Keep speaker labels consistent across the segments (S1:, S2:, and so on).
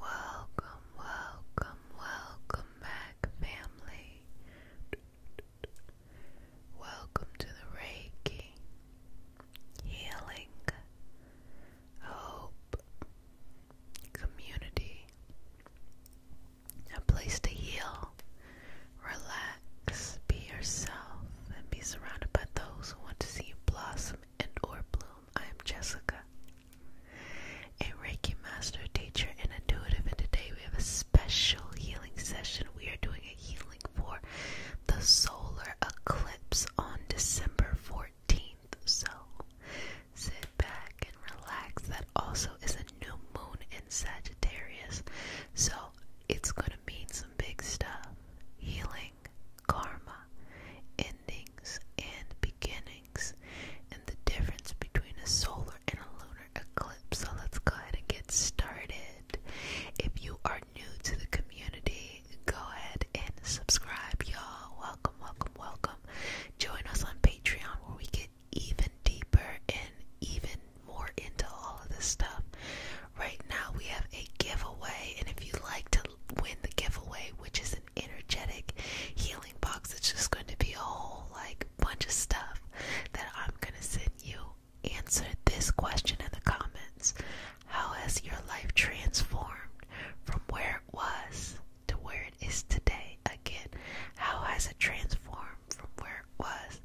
S1: Welcome, welcome, welcome back, family. Welcome to the Reiki Healing Hope Community, a place to heal, Relax, be yourself, and be surrounded by those who want to see you blossom and or bloom. I am Jessica, a Reiki master, teacher, and intuitive, and today we have a special healing session. We are doing a healing for the solar eclipse on December 14th. So sit back and relax. That also is a new moon in Sagittarius. So it's gonna mean some big stuff healing, karma, endings, and beginnings, and the difference between a solar and a lunar eclipse. So let's go ahead and get started. If you are new to the community, go ahead and subscribe, y'all. Welcome, welcome, welcome. Join us on Patreon where we get even deeper and even more into all of this stuff. Right now, we have a giveaway, and if you'd like to win the giveaway, which is an energetic healing box, it's just going to be a whole like bunch of stuff that I'm gonna send you. Answer this question in the comments How has your life transformed from where it was to where it is today? Again, how has it transformed from where was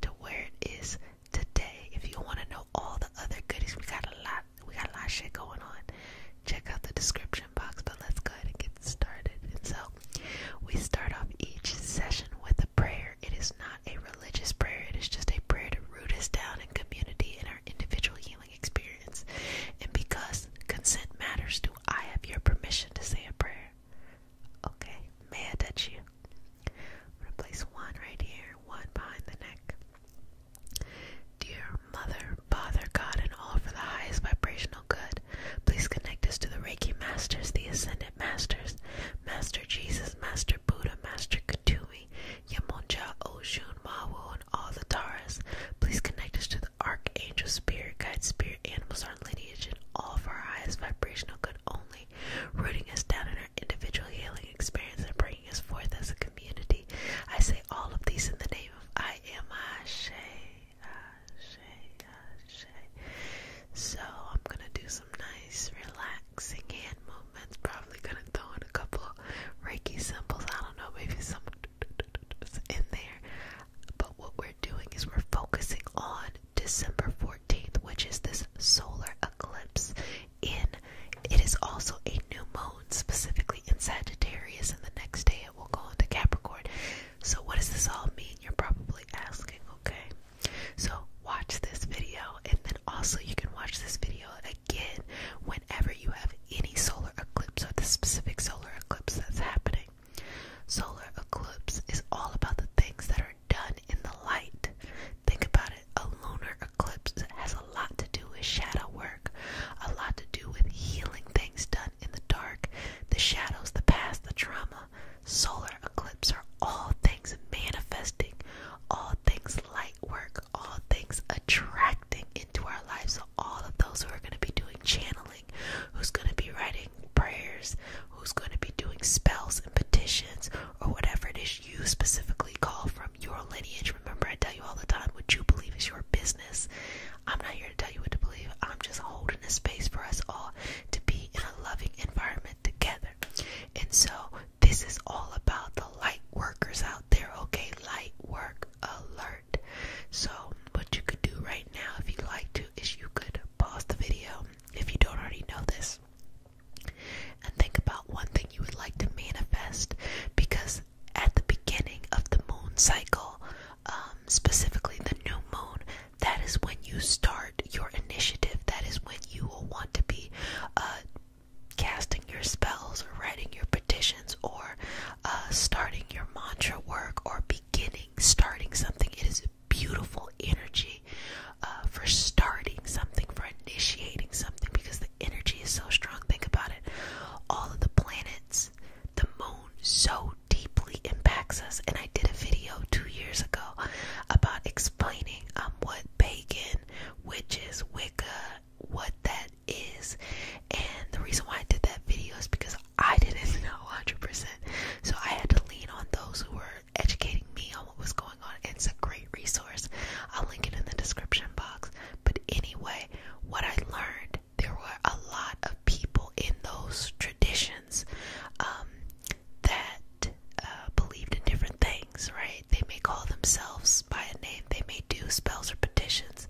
S1: to where it is today. If you want to know all the other goodies, we got a lot. We got a lot of shit going on. Check out the description box. But let's go ahead and get started. so, we start off each session with a prayer. It is not a religious prayer. It is just a prayer to root us down in community in our individual healing experience. And because consent matters, do I have your permission to say a prayer? Okay, may I touch you? I'm gonna place one right here, one behind the neck. Dear Mother, Father, God, and all for the highest vibrational good, please connect us to the Reiki Masters, the Ascended Masters, Master Jesus, Master Buddha, Master Katumi, Yamonja, Oshun, Mawu, and all the Taras. Please connect us to the Archangel Spirit, Guide Spirit, Animals, our lineage radiation, all for our highest vibrational good only, rooting us down in our individual healing experience and bringing us forth as a community. I say all of these in the name of I am Ashe, Ashe, Ashe. So I'm gonna do some nice, relaxing hand movements. Probably gonna throw in a couple Reiki symbols. I don't know, maybe some in there. But what we're doing is we're focusing on December 14th, which is this solar eclipse in it is also a new moon specifically in Sagittarius and the next day it will go into Capricorn. So what does this all mean? You're probably asking, okay? So watch this video and then also you can watch this video again whenever you have any solar eclipse or the specific solar eclipse that's happening. Solar eclipse is all about the things that are done in the light. Think about it. A lunar eclipse has a lot to do with shadow work, a lot to do with healing things done in the dark, the shadows, the past, the trauma. Solar eclipse are all things manifesting, all things light work, all things attracting into our lives. So all of those who are going to be doing channeling who's going to be writing prayers, who's going to be doing spells and petitions, or whatever it is you specifically call from your lineage. Remember, I tell you all the time what you believe is your business. I'm not here to tell you what to believe, I'm just holding a space for us all to be in a loving environment together. And so, this is all about the light workers out there, okay? Light work alert. So, what you could do right now, if you'd like to, is you could pause the video if you don't already know this and think about one thing you would like to manifest because at the beginning of the moon cycle, um, specifically the new moon, that is when you start your initiative. That is when you will want to be uh, casting your spells or writing your petitions or uh, starting your mantra work or beginning starting something. It is beautiful energy uh, for starting something, for initiating something, because the energy is so strong. Think about it. All of the planets, the moon, so deeply impacts us. And I did a video two years ago about explaining um, what pagan, witches, Wicca, what that is. And the reason why I did that video is because I didn't know 100%. So I had to lean on those who were educating me on what was going on. It's a great resource. I'll link it in the description box. But anyway, what I learned, there were a lot of people in those traditions um, that uh, believed in different things, right? They may call themselves by a name, they may do spells or petitions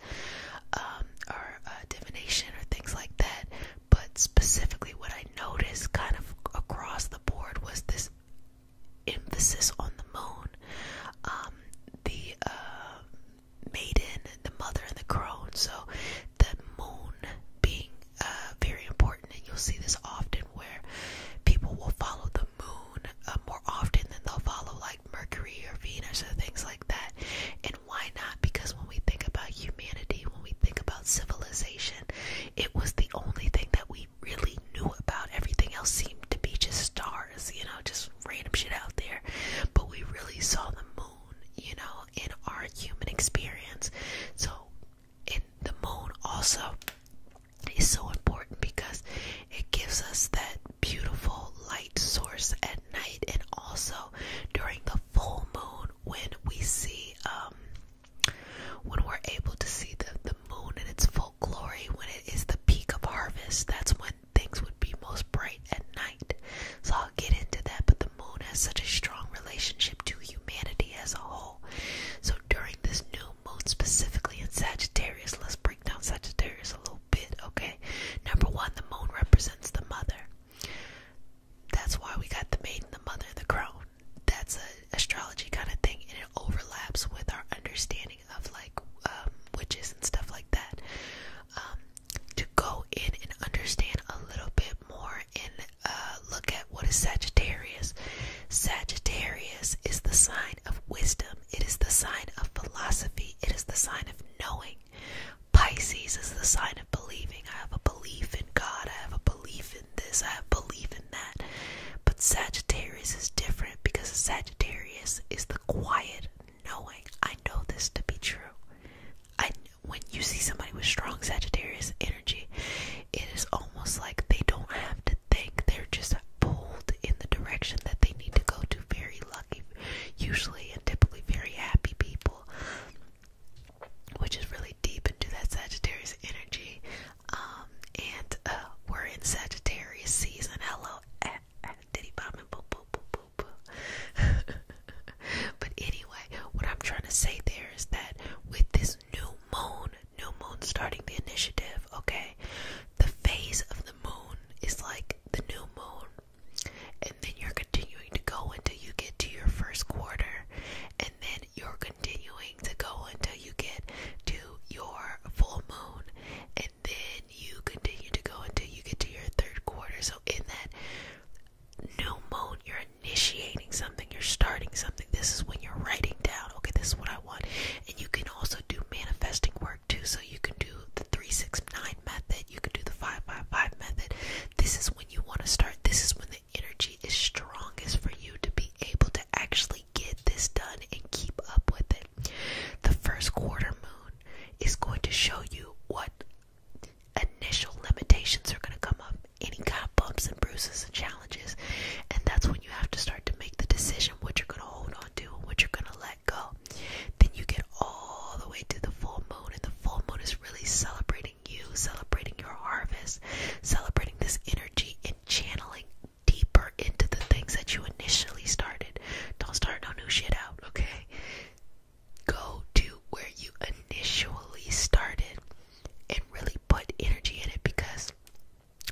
S1: um, or uh, divination or things like that. But specifically, what I noticed kind of across the board was this emphasis on the moon. Um, the uh, maiden, the mother, and the crone. So the moon being uh, very important, and you'll see this often where people will follow the moon uh, more often than they'll follow like Mercury or Venus or things like that. And why not? Because when we think about humanity, when we think about civilization, it was the only thing that we really knew about. Everything else seemed to be just stars, you know, just random shit out there. But we really saw the moon, you know, in our human experience. So, and the moon also is so important because it gives us that beautiful light source at night and also during the full moon when we see um, when we're able to see the the moon in its full glory when it is the peak of harvest that's when things would be most bright at night so I'll get into that but the moon has such a strong relationship to humanity as a whole so during this new moon specifically in Sagittarius let's break down Sagittarius a little bit okay number 1 the moon represents the mother that's why we got the maiden, the mother, the crone. That's an astrology kind of thing, and it overlaps with our understanding of like um, witches and stuff like that. Um, to go in and understand a little bit more and uh, look at what is Sagittarius. Sagittarius is the sign of wisdom. It is the sign of philosophy. It is the sign of knowing. Pisces is the sign of believing. I have a belief in God. I have a belief in this. I have a belief in that. But Sagittarius is different because Sagittarius is the quiet knowing. I know this to be true. I when you see somebody with strong Sagittarius energy, it is almost like they don't have to think. They're just pulled in the direction that they need to go to. Very lucky, usually and typically very happy people which is really deep into that Sagittarius energy. Um, and uh, we're in Sagittarius season. Hello, eh, eh, Diddy Bobbin, boop, boop, boop, boop. but anyway, what I'm trying to say there is that with this new moon, new moon starting the initiative, okay, the phase of the moon is like the new moon and then you're continuing to go until you get to your first quarter, and then you're continuing to go until you get to your full moon, and then you continue to go until you get to your third quarter. So, in that new moon, you're initiating something, you're starting something. This is when you're writing down, okay, this is what I want, and you can also do manifesting work so you can do the 369 method, you can do the 555 method. This is when you want to start. This is when the energy is strongest for you to be able to actually get this done and keep up with it. The first quarter moon is going to show you what initial limitations are going to come up, any kind of bumps and bruises and challenges. And that's when you have to start to make the decision what you're going to hold on to and what you're going to let go. Then you get all the way to the full moon, and the full moon is really celebrating you, celebrating your harvest, celebrating this energy, and channeling deeper into the things that you initially started. Don't start no new shit out, okay? Go to where you initially started and really put energy in it because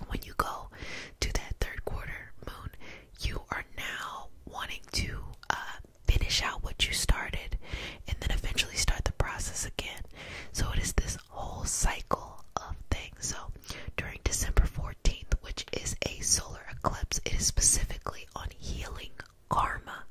S1: when you go to that third quarter moon, you are now wanting to uh, finish out what you started and then eventually start the process again. So it is this whole cycle of things. So during December 14th, which is a solar eclipse, it is specifically on healing karma.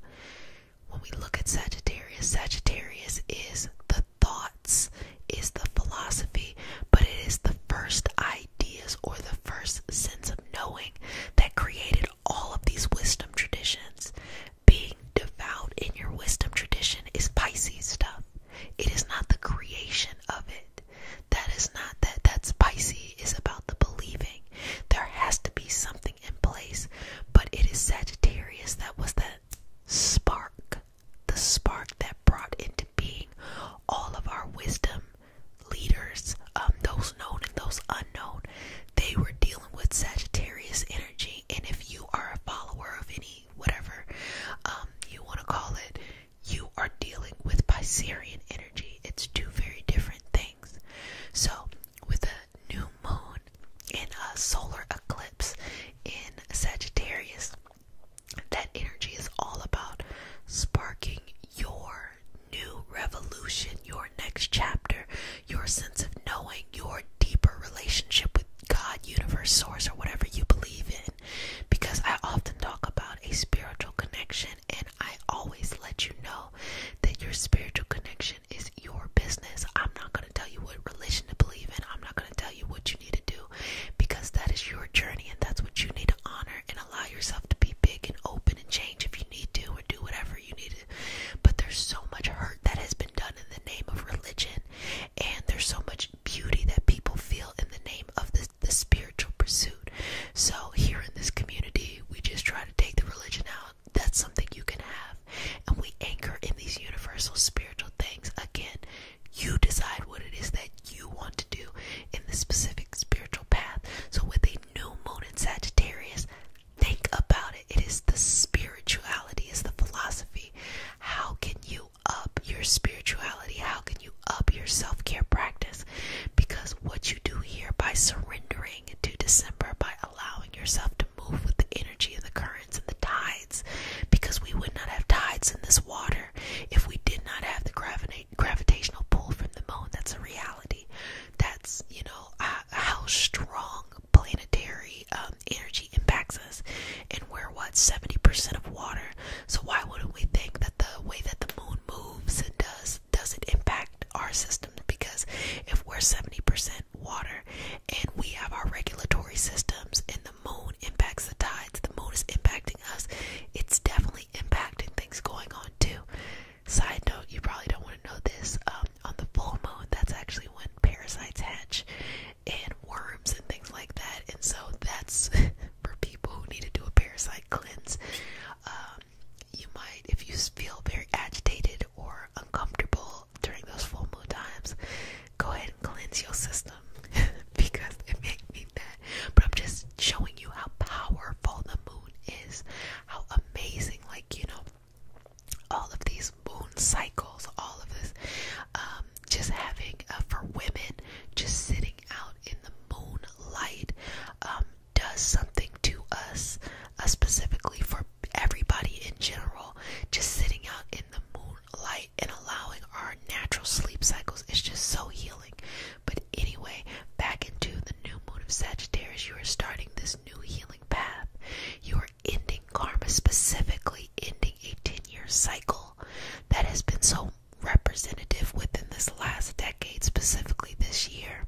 S1: When we look at Sagittarius, Sagittarius is the thoughts, is the philosophy, but it is the first eye ideas or the first sense of knowing that created all of these wisdom traditions. Being devout in your wisdom tradition is Pisces stuff. It is not the creation of it. That is not that that's Pisces is about the believing. There has to be something in place, but it is Sagittarius that was that spark, the spark that brought into being all of our wisdom leaders, um, those known and those unknown, they were dealing with Sagittarius energy. And if you are a follower of any, whatever um, you want to call it, you are dealing with Piscean energy. It's two very different things. So, with a new moon and a solar eclipse in Sagittarius, that energy is all about sparking your new revolution, your next chapter, your sense of knowing, your deeper relationship with God, universe, source, or whatever you believe in. Because I often talk about a spiritual connection, and I always let you know that your spiritual connection is your business. I'm not going to tell you what religion to believe in, I'm not going to tell you what you need to do because that is your journey and that's what you need to to honor and allow yourself to be big and open and change if you need to or do whatever you need to. But there's so much hurt that has been done in the name of religion, and there's so much beauty that people feel in the name of the, the spiritual pursuit. So, here in this community, we just try to take the religion out. That's something you can have. And we anchor in these universal spiritual things. Again, you decide what it is that you want to do in the specific spiritual path. So, with a new moon in Sagittarius, think about it. It is the spirituality, is the philosophy. How can you up your spirituality? How can you up your self care practice? Because what you do here by surrendering to December, by allowing yourself to move with the energy and the currents and the tides, because we would not have tides in this water if we did not have the gravity gravitational pull from the moon. That's a reality. That's, you know, uh, how strong planetary um, energy impacts us. And we're what, 70% of water. So why wouldn't we think that the way that the moon moves and does doesn't impact our systems? Because if we're 70% water and we have our regulatory systems and the moon impacts the tides, the moon is impacting us, it's definitely definitely impacting things going on too. Side note, you probably don't want to know this. Um, on the full moon, that's actually when parasites hatch and worms and things like that. And so that's for people who need to do a parasite cleanse. Um, you might, if you feel very agitated or uncomfortable during those full moon times, go ahead and cleanse your system because it may mean that. But I'm just just showing you how powerful the moon is, how amazing, like, you know, all of these moon cycles, all of this, um, just having, uh, for women, just sitting out in the moonlight, um, does something to us, uh, specifically for everybody in general, just sitting out in the moonlight and allowing our natural sleep cycles is just so healing. But anyway, back into the new moon of Sagittarius, you are starting this new healing path. You are ending karma, specifically ending a 10 year cycle that has been so representative within this last decade, specifically this year.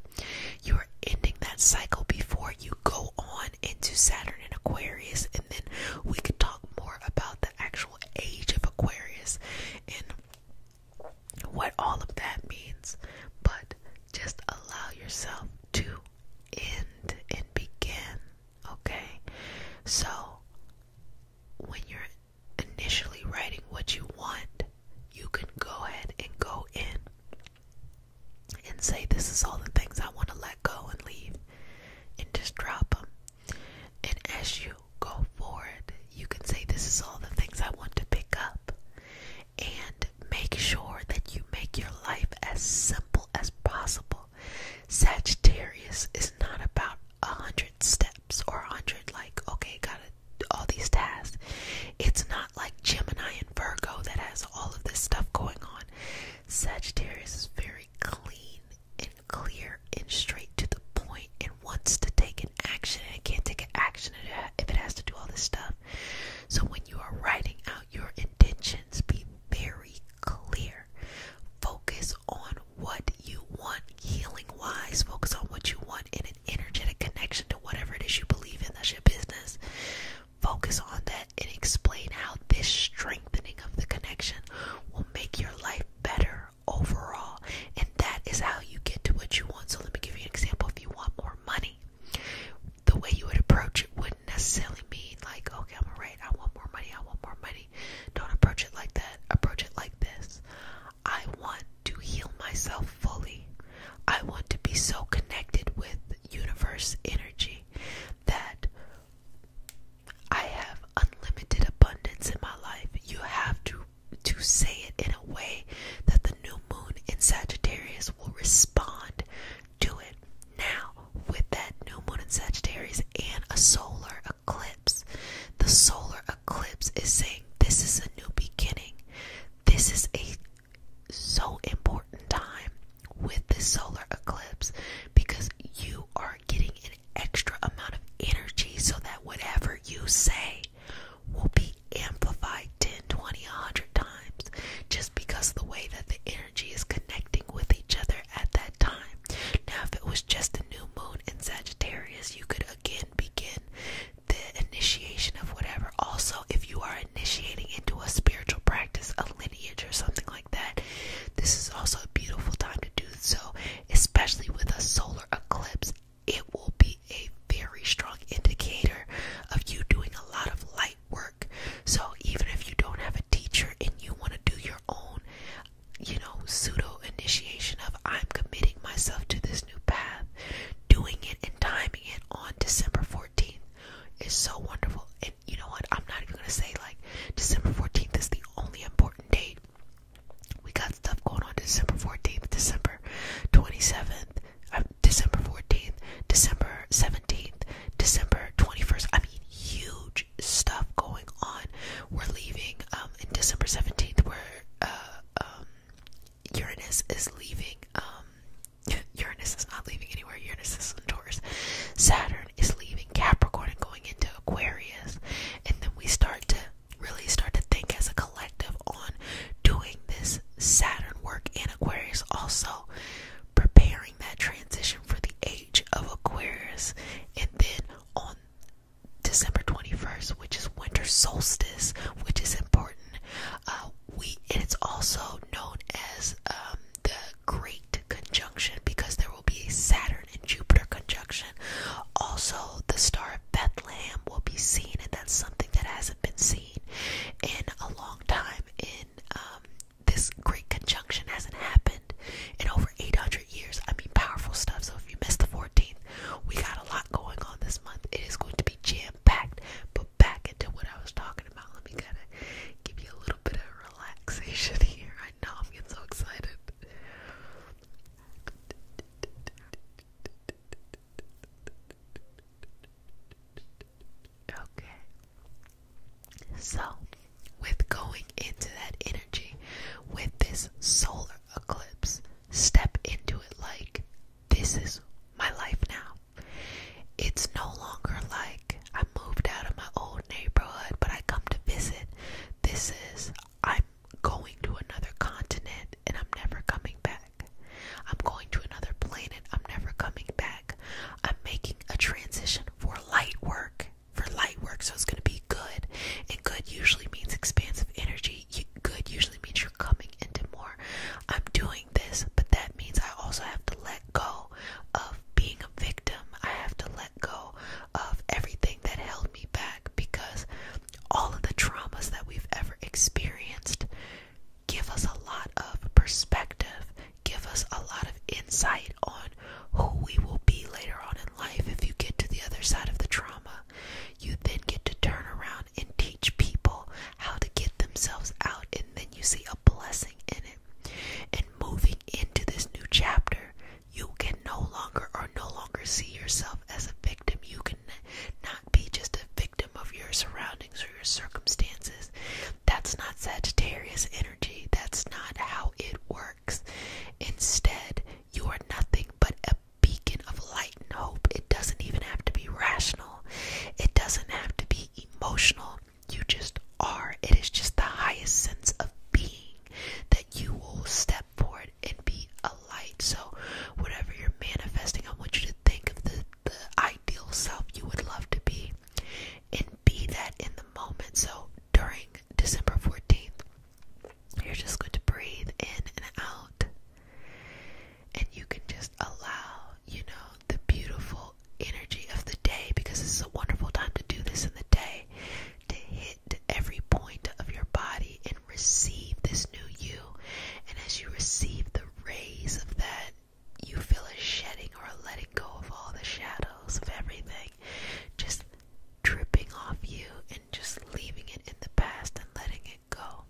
S1: You are ending that cycle before you go on into Saturn and Aquarius, and then we can talk more about the actual age of Aquarius and what all of that means, but just allow yourself to end and begin, okay? So, when you're initially writing what you want, you can go ahead and go in and say, This is all the things I want to let go and leave, and just drop them. And as you you go forward, you can say, This is all the things I want to pick up. And make sure that you make your life as simple as possible. Sagittarius is not about a hundred steps or a hundred, like, okay, gotta do all these tasks. It's not like Gemini and Virgo that has all of this stuff going on. Sagittarius is very clean and clear and straight to the point and wants to take an action and it can't take an action if it has to do all this stuff. So when you are writing out your intentions, be very clear. Focus on what you want healing wise. Focus on what you want in an energetic connection to whatever it is you believe in. That's your business. Focus on that and explain how this strengthening of the connection will make your life better overall. And that is how you get to what you want. So let me give you an example. If you want more money, the way you would approach it wouldn't necessarily mean like, okay, I'm alright, I want more money, I want more money. Don't approach it like that. Approach it like this. I want to heal myself fully. I want to be so connected with universe energy that I have unlimited abundance in my life. You have to to say it in a way that the new moon in Sagittarius will respond to it. Now, with that new moon in Sagittarius and a solar eclipse, the solar eclipse is saying this is a new beginning. This is a so important time with this solar eclipse because you are getting an extra amount of energy so that whatever you say will be amplified 10, 20, 100 times just because of the way that the energy is connecting with each other at that time. Now, if it was just a new moon in Sagittarius, you could again begin the initiation of whatever. Also, if you are initiating into a spiritual practice, a lineage, or something like that, this is also a beautiful time to do so, especially with a solar eclipse, it will be a very strong indicator of you doing a lot of light work. So, even if you don't have a teacher and you want to do your own, you know, pseudo initiation of I'm committing myself to this new path, doing it and timing it on December 14th is so wonderful. And you know what? I'm not even going to say like December 14th is the only important date. We got stuff going on December 14th, December 27th, uh, December 14th, December 17th, December 21st. I mean, huge stuff going on. We're leaving um, in December 17th, we We're Uranus is leaving. Um, Uranus is not leaving anywhere. Uranus is on Taurus. Saturn is leaving Capricorn and going into Aquarius, and then we start to really start to think as a collective on doing this Saturn work in Aquarius, also preparing that transition for the age of Aquarius, and then on December 21st, which is winter solstice, which is important. Uh, we and it's also known as um, the Great conjunction because there will be a Saturn and Jupiter conjunction. Also, the star of Bethlehem will be seen, and that's something that hasn't been seen in a long time. In um, this great conjunction hasn't happened in over 800 years. I mean, powerful stuff. So if you missed the 14th, we got a lot going on this month. It is going to be jam packed. But back into what I was talking about, let me kind of give you a little little bit of relaxation here. I know I'm getting so excited. Okay. So, with going into that energy, with this solar eclipse, step into it like this is my life now. It's no longer like like I moved out of my old neighborhood, but I come to visit. This is I'm going to another continent and I'm never coming back. I'm going to another planet. I'm never coming back. I'm making a transition for light work. For light work, so it's going to be good. And good usually means expansive energy. good usually means you're coming into more. I'm doing this, but that means I also have to let go of being a victim. I have to let go of everything that held me back because all of the traumas that we've ever experienced give us a lot of perspective, give us a lot of insight on who we will be later on in life if you get to the other side of the trauma. You then get to turn around and teach people how to get themselves out, and then you see a blessing in it. And moving into this new chapter, you can no longer or no longer see yourself as a victim. You can not be just a victim of your surroundings or your circumstances. That's not Sagittarius energy. That's not how it works. Instead, you are nothing but a beacon of light and hope. It doesn't even have to be rational, it doesn't have to be emotional. You just are. It is just the highest sense of being that you will step forward and be a light. So, whatever you're manifesting, I want you to think of the, the ideal self you would love to be and be that in the moment. So, during December 14th, you're just going to breathe in and out, and you can just allow, you know, the beautiful energy of the day because this is a wonderful time to do this in the day to hit every point of your body and receive this new you. And as you receive the rays of that, you feel a shedding or a letting go of all the shadows of everything just dripping off you and just leaving it in the past and letting it go.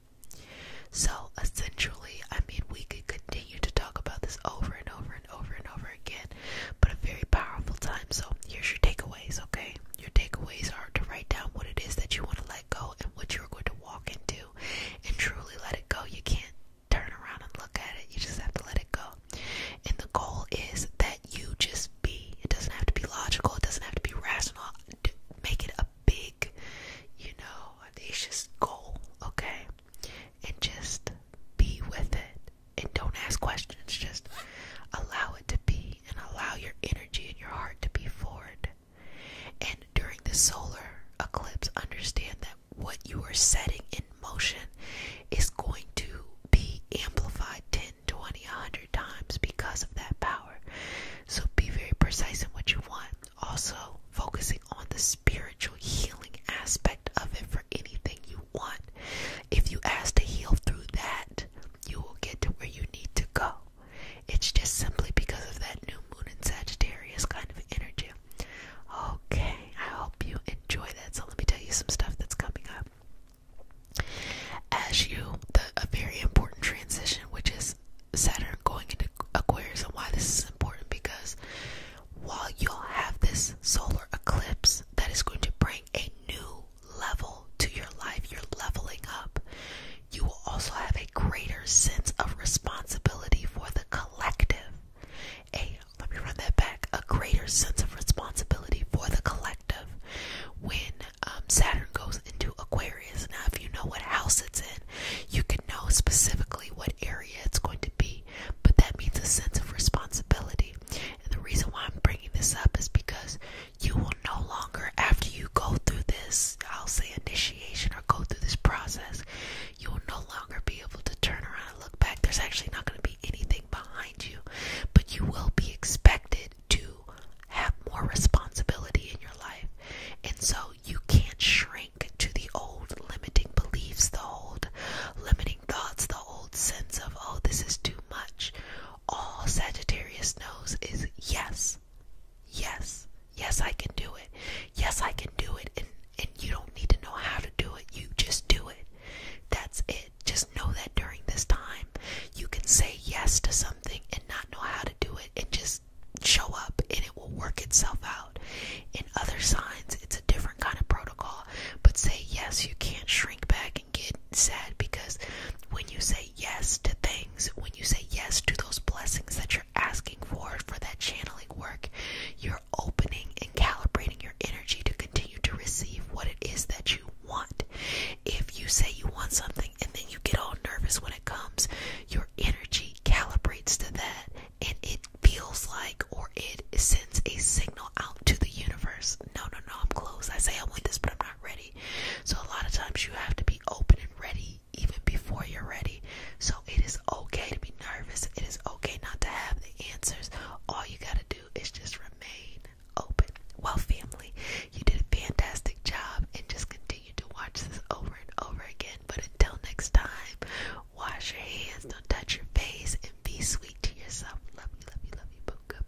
S1: So essentially, I mean, we could continue to talk about this over and over and over and over again, but a very powerful time. So, here's your takeaways, okay? Your takeaways are to write down what it is that you want to let go and what you're going to walk into and truly let it go. You can't turn around and look at it, you just have to let it go. And the goal is that you just be. It doesn't have to be logical, it doesn't have to be rational. Make it a big, you know, audacious goal, okay? And just be with it and don't ask questions. Just allow it to be and allow your energy and your heart to be forward. And during the solar eclipse, understand that what you are setting in motion is going to be amplified 10, 20, 100 times because of that power. So be very precise in what you want. Also, focusing on the spirit healing aspect of it for anything you want. If you ask to heal through that, you will get to where you need to go. It's just simply because of that new moon and Sagittarius kind of energy. Okay, I hope you enjoy that. So let me tell you some stuff that's coming up. As you, the, a very important transition, which is Saturn going into Aquarius, and why this is important because while you'll have this solar eclipse that is going to bring a new level to your life, you're leveling up. You will also have a greater sense of responsibility for the collective. A let me run that back. A greater sense of responsibility for the collective when um, Saturn goes into Aquarius. Now, if you know what house it's in, you can know specifically what area it's going to be me, but that means a sense of responsibility. And the reason why I'm bringing this up is because you will no longer, after you go through this, I'll say initiation or go through this process, you will no longer be able to turn around and look back. There's actually not going to be anything behind you, but you will be expected to have more responsibility in your life. And so you can't shrink to the old limiting beliefs, the old limiting thoughts, the old sense of, oh, this is too much. All Sagittarius knows is yes, yes, yes, I can do it. Yes, I can do it. And, and you don't need to know how to do it. You just do it. That's it. Just know that during this time, you can say yes to something and not know how to do it and just show up and it will work itself out. In other signs, it's a different different kind of protocol. But say yes, you can't shrink back and get sad because when you say yes to things, when you say yes to those blessings that you're asking for, for that channeling work, you're opening and calibrating your energy to continue to receive what it is that you want. If you say you want something and then you get all nervous when it comes, your energy calibrates to that and it feels like or it sends a signal out to the universe. No, no, no, I'm close. I say I want this, but I'm not ready. So a lot of times you have to be open and ready even before you're ready. So it is okay to be nervous. It is okay not to have the answers. All you gotta do is just remain open. Well, family, you did a fantastic job and just continue to watch this over and over again. But until next time, Wash your hands, don't touch your face, and be sweet to yourself. Love you, love you, love you, Goodbye.